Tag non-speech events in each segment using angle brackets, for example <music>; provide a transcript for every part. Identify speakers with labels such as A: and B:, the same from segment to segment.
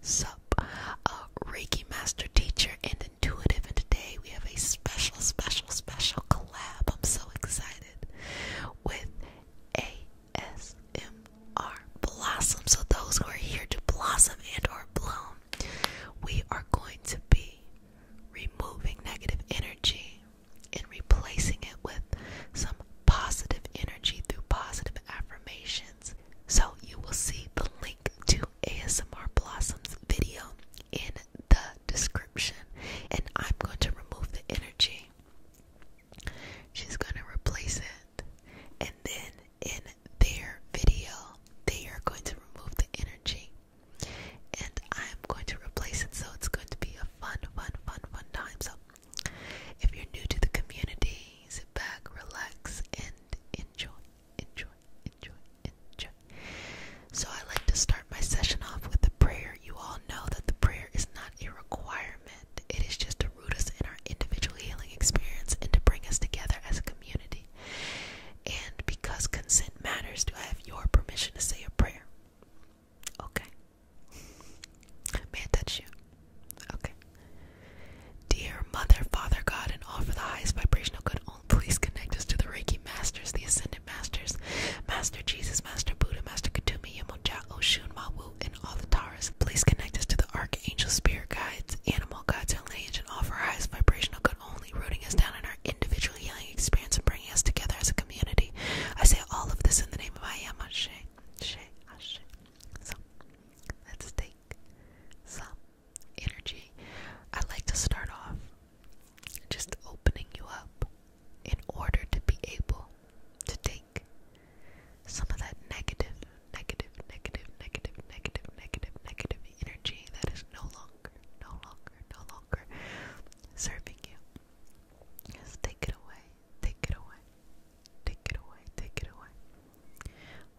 A: sup uh, reiki master teacher and intuitive and today we have a special special special collab i'm so excited with asmr blossom so those who are here to blossom and or bloom we are going to be removing negative energy and replacing it with some positive energy through positive affirmations so you will see the link to ASMR Blossom's video in the description. And I'm going to remove the energy. She's going to replace it. And then in their video, they are going to remove the energy. And I'm going to replace it. So it's going to be a fun, fun, fun, fun time. So if you're new to the community, Sit back, relax, and enjoy, enjoy, enjoy, enjoy. So, I like to start my session off with a prayer. You all know that the prayer is not a requirement, it is just to root us in our individual healing experience and to bring us together as a community. And because consent matters, do I have your permission to say a prayer? Okay. May I touch you? Okay. Dear Mother, Father, God, and offer the highest vibrational good, all please connect us to the Reiki Masters, the Ascended Masters, Master Jesus, Master Buddha, Master Katumi, Yamoja, Oshun, Mawu, and all the Taurus. Please connect us to the Archangel, Spirit Guides, Animal Guides, and Lineage, and offer our highest vibrational good, only rooting us down in our individual healing experience and bringing us together as a community. I say all of this in the name of I am Ashe. Ashe, Ashe. So, let's take some energy. I like to start off just opening you up in order to be able to take some of that negative, negative, negative, negative, negative, negative, negative energy that is no longer, no longer, no longer serving you. Just take it away, take it away, Take it away, take it away.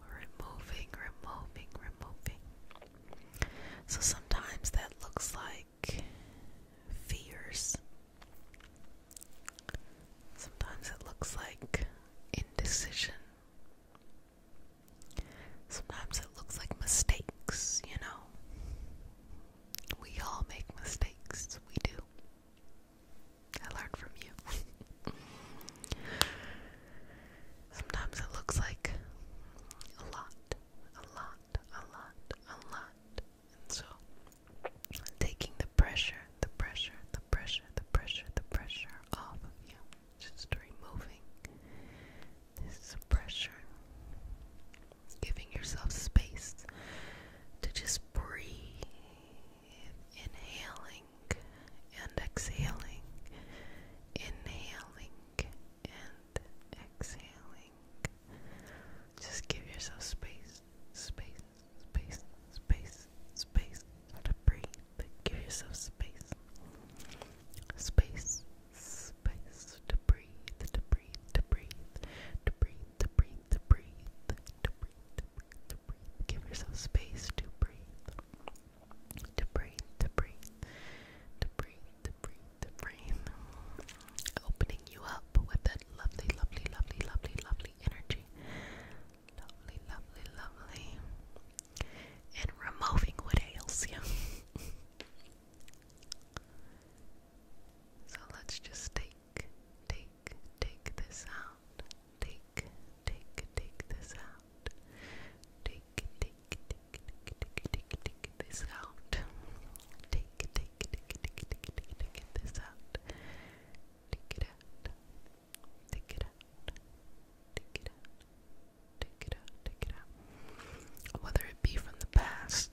A: We're removing, removing, removing. So sometimes that looks like fears. Sometimes it looks like indecision. Sometimes it looks like mistakes, you know. We all make mistakes, we do. I learned from you. <laughs> Sometimes it looks like a lot, a lot, a lot, a lot. And so taking the pressure, the pressure, the pressure, the pressure, the pressure off of you. Just removing this pressure. Giving yourself space to just breathe. Inhaling and exhaling, inhaling and exhaling. Just give yourself space, space, space, space, space to breathe. Give yourself space, space, space to breathe, to breathe, to breathe, to breathe, to breathe, to breathe, to breathe, to breathe, Give yourself space to breathe, to breathe, to breathe, to breathe, to breathe, to breathe. Opening you up with that lovely, lovely, lovely, lovely, lovely energy. Lovely, lovely, lovely. And removing what ails you. <laughs> so let's just take, take, take this out out. Take, take, take this out. Take, take, take, take, take, take this out. Take, take, take, take, take, take this out. Take it out. Take it out. Take it out. Take it out. Take it out. Whether it be from the past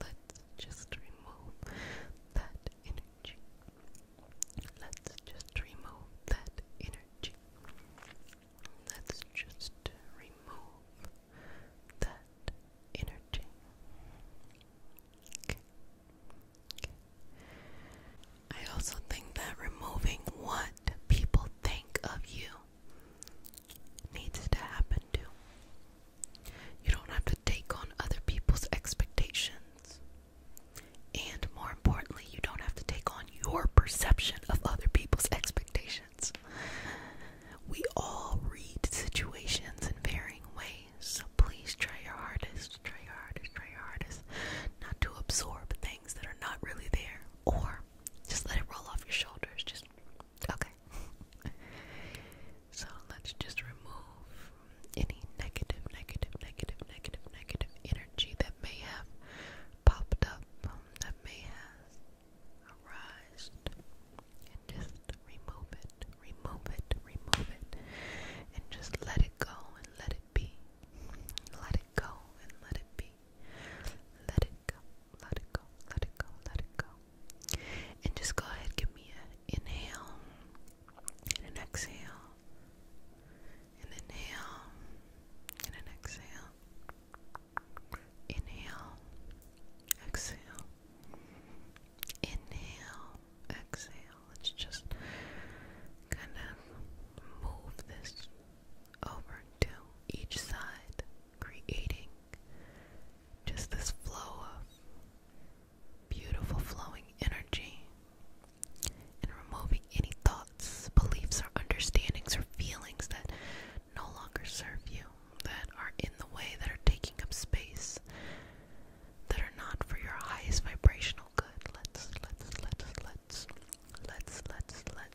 A: Let's just remove that energy. Let's just remove that energy. Let's just remove that energy. I also think that removing what people think of you needs to happen too. You don't have to take on other people's expectations. And more importantly, you don't have to take on your perception of other people's expectations. We all read situations in varying ways, so please try your hardest, try your hardest, try your hardest not to absorb things that are not really there, or just let it roll off your shoulders. Just Okay. so let's just remove any negative, negative, negative, negative, negative energy that may have popped up, that may have arised. And just remove it, remove it, remove it. And just let it go and let it be. Let it go and let it be away. Let it go, let it go, let it go, let it go. And just go ahead, give me an inhale and an exhale. And inhale and an exhale. Inhale, exhale. Inhale, exhale. Let's just kind of move this over to each side creating just this flow of beautiful flowing energy and removing any thoughts, beliefs, or understandings or feelings that no longer serve you, that are in the way, that are taking up space, that are not for your highest vibrational good. Let's, let's, let's, let's, let's, let's, let's,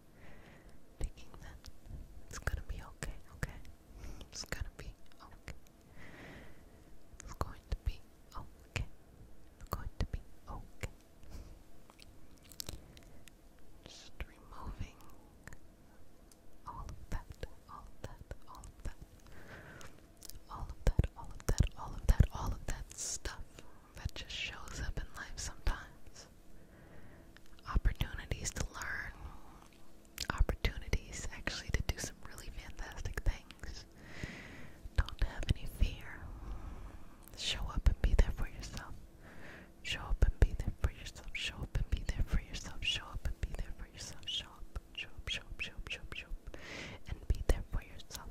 A: thinking that it's gonna be okay, okay? It's gonna be okay. It's going to be okay. It's going to be okay. Just removing all of that, all of that, all of that, all of that, all of that, all of that, all of that stuff that just shows up in life sometimes opportunities to learn, opportunities actually to do some really fantastic things. Don't have any fear. Show up and be there for yourself. Show up and be there for yourself. Show up and be there for yourself. Show up and be there for yourself. Show up, show up, show up, show up, show up, show up, and be there for yourself.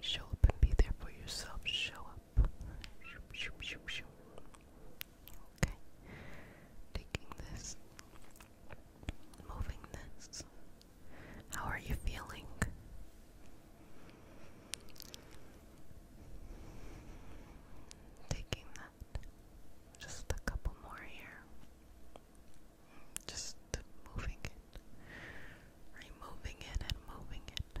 A: Show up and be there for yourself. Show up up. Okay. Taking this. Moving this. How are you feeling? Taking that. Just a couple more here. Just moving it. Removing it and moving it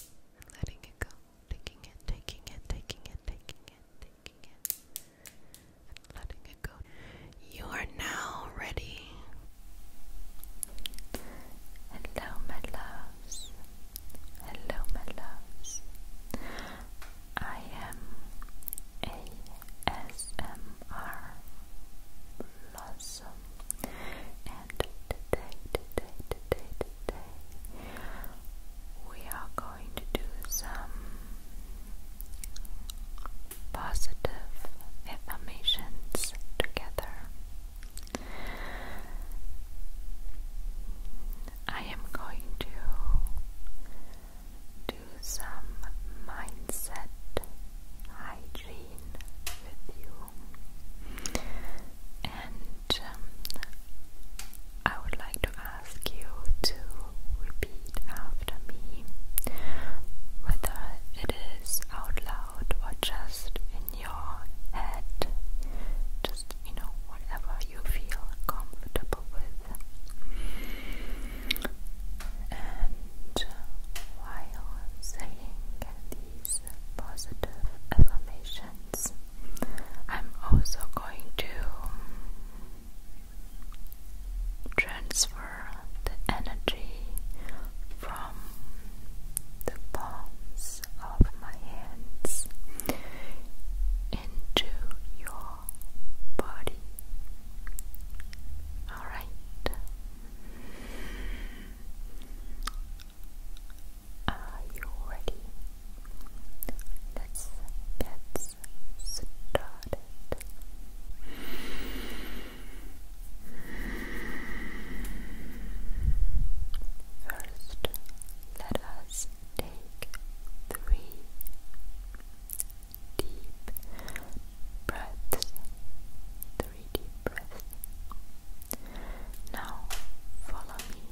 A: i letting it go. Taking it, taking it, taking it, taking it, taking it. letting it go. You are now ready. Hello, my loves. Hello, my loves. I am
B: ASMR Blossom, and today, today, today, today we are going to do some positive affirmations together. I am going to do some mindset hygiene with you um, I would like to ask you to repeat after me, whether it is out loud or just in your head. Just, you know, whatever you feel comfortable with. And while saying these positive affirmations, I'm also going to transfer the energy from the palms of my hands into your body. All right. Are you ready? Let's get started. First, let us take three deep breaths three deep breaths. Now follow me.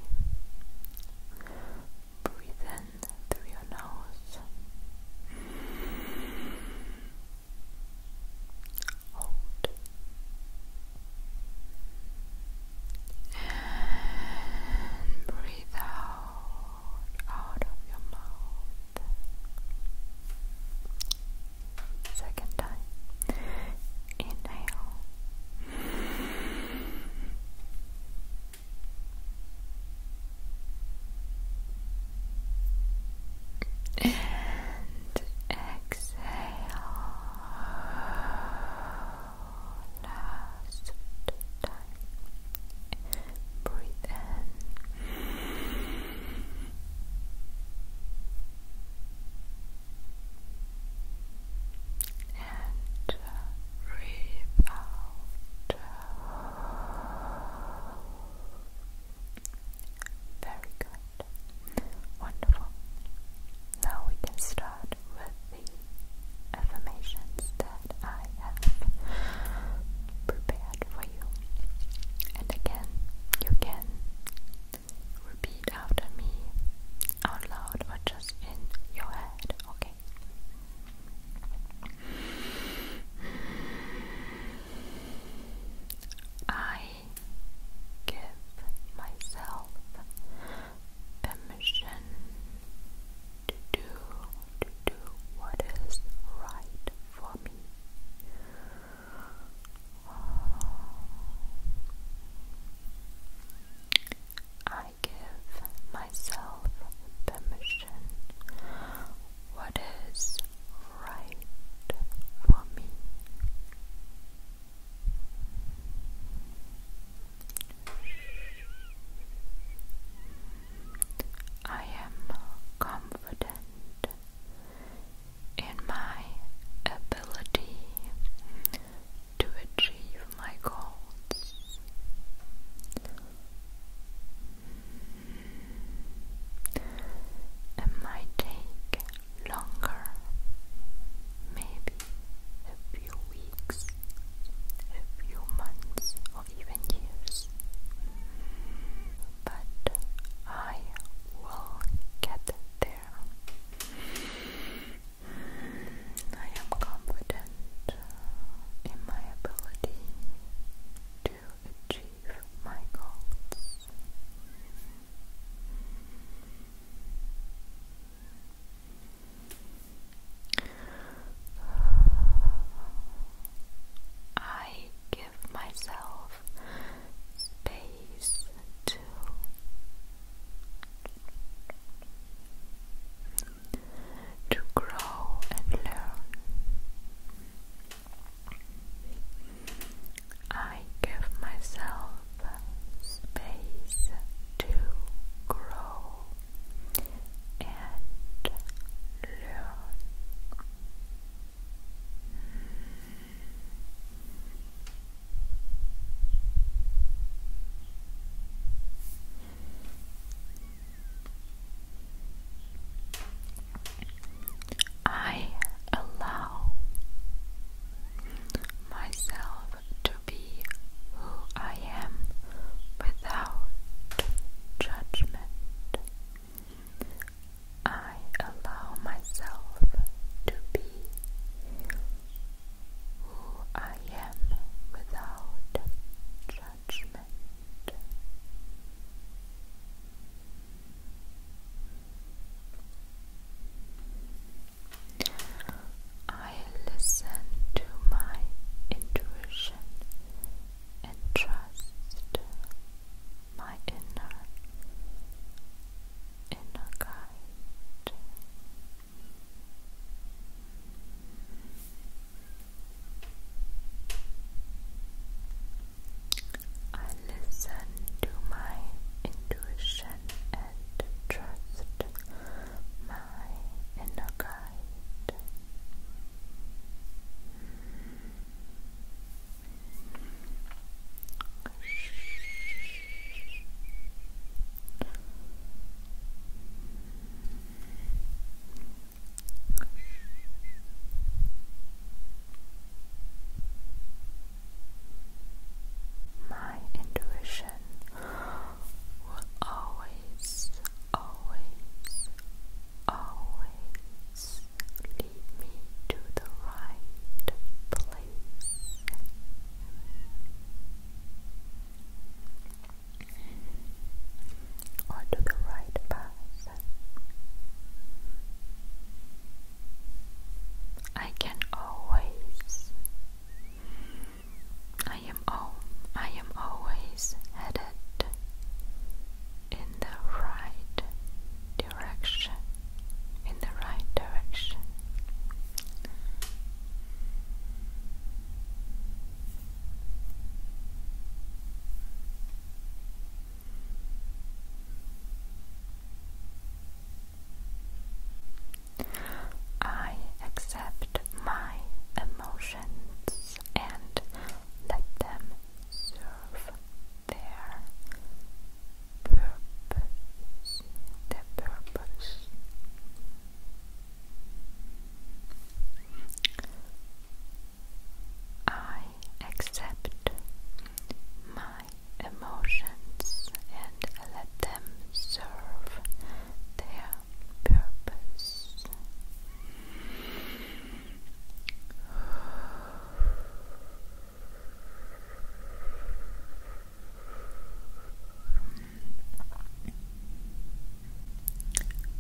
B: Breathe in through your nose. Hold. And breathe out out of your mouth. Second time. Inhale. And exhale. Last time. Breathe in and breathe Very good. Wonderful. Now we can start with the affirmations that I have prepared for you. And again, you can Repeat after me out loud or just in your head, okay? I give myself permission to do to do what is right for me. I give myself permission. What is right for me? I am confident in my ability to achieve my goals. It might take longer, maybe a few weeks, a few months, or even years, but I will get I am confident in my ability to achieve my goals. I give myself space to to grow and learn. I give myself space to grow and learn. I allow myself to be who I am without judgment. I allow myself to be who I am without judgment. I listen to my intuition and trust my inner inner guide. I listen to my intuition and trust my inner guide. My intuition will always, always, always lead me to the right place. Or to the right path. I can always. I am all. I am always headed in the right direction, in the right direction. I accept my emotions and let them serve their purpose, their purpose. I accept my emotions and let them serve their purpose.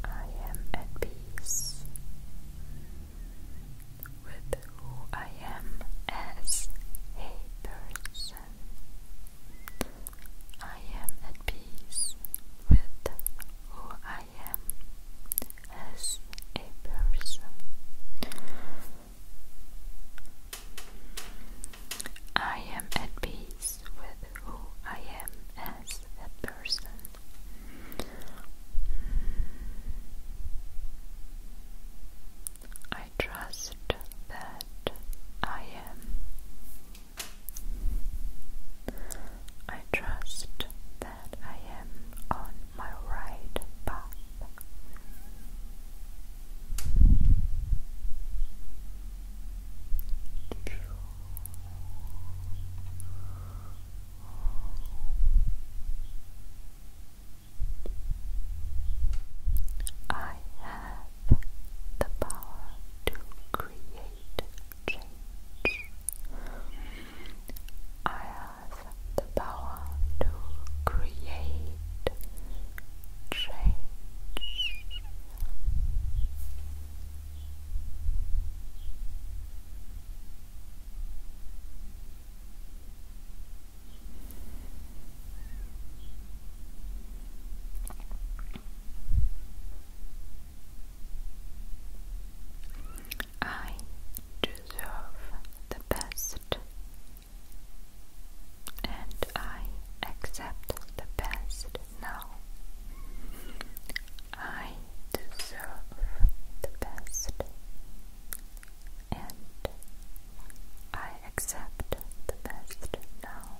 B: I am at peace with who I am as a person. I am at peace with who I I as a person. I am at peace with who I am as a person. I trust that I am. I trust that I am on my right path. I have the power to create change. I has the power to create change. I deserve the best, and I accept the best now. I deserve the best, and I accept the best now.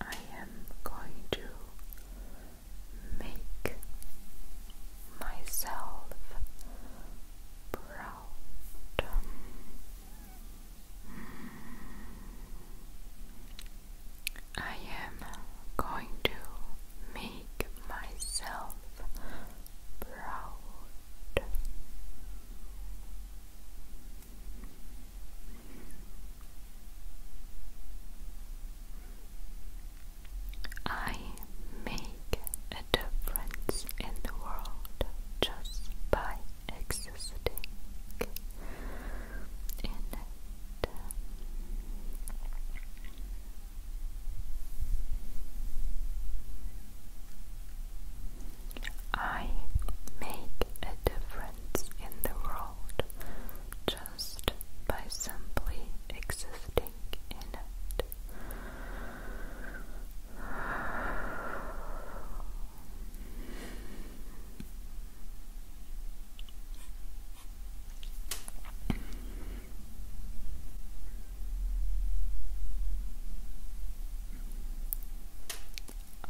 B: I am going to make myself proud. I am going to make myself proud. I make a difference in the world just by existing in I make a difference in the world just by simply existing in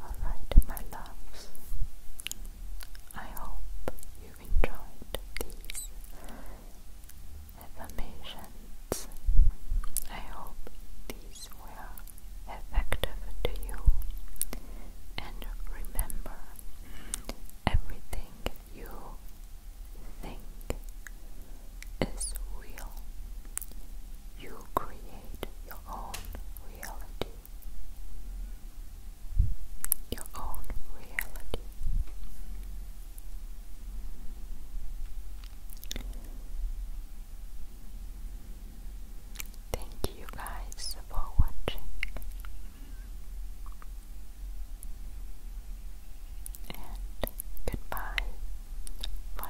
B: Alright, my loves, I hope you enjoyed these affirmations. I hope these were effective to you. And remember, everything you thing is real. You create your own reality. Your own reality. Thank you guys for watching.
A: And goodbye for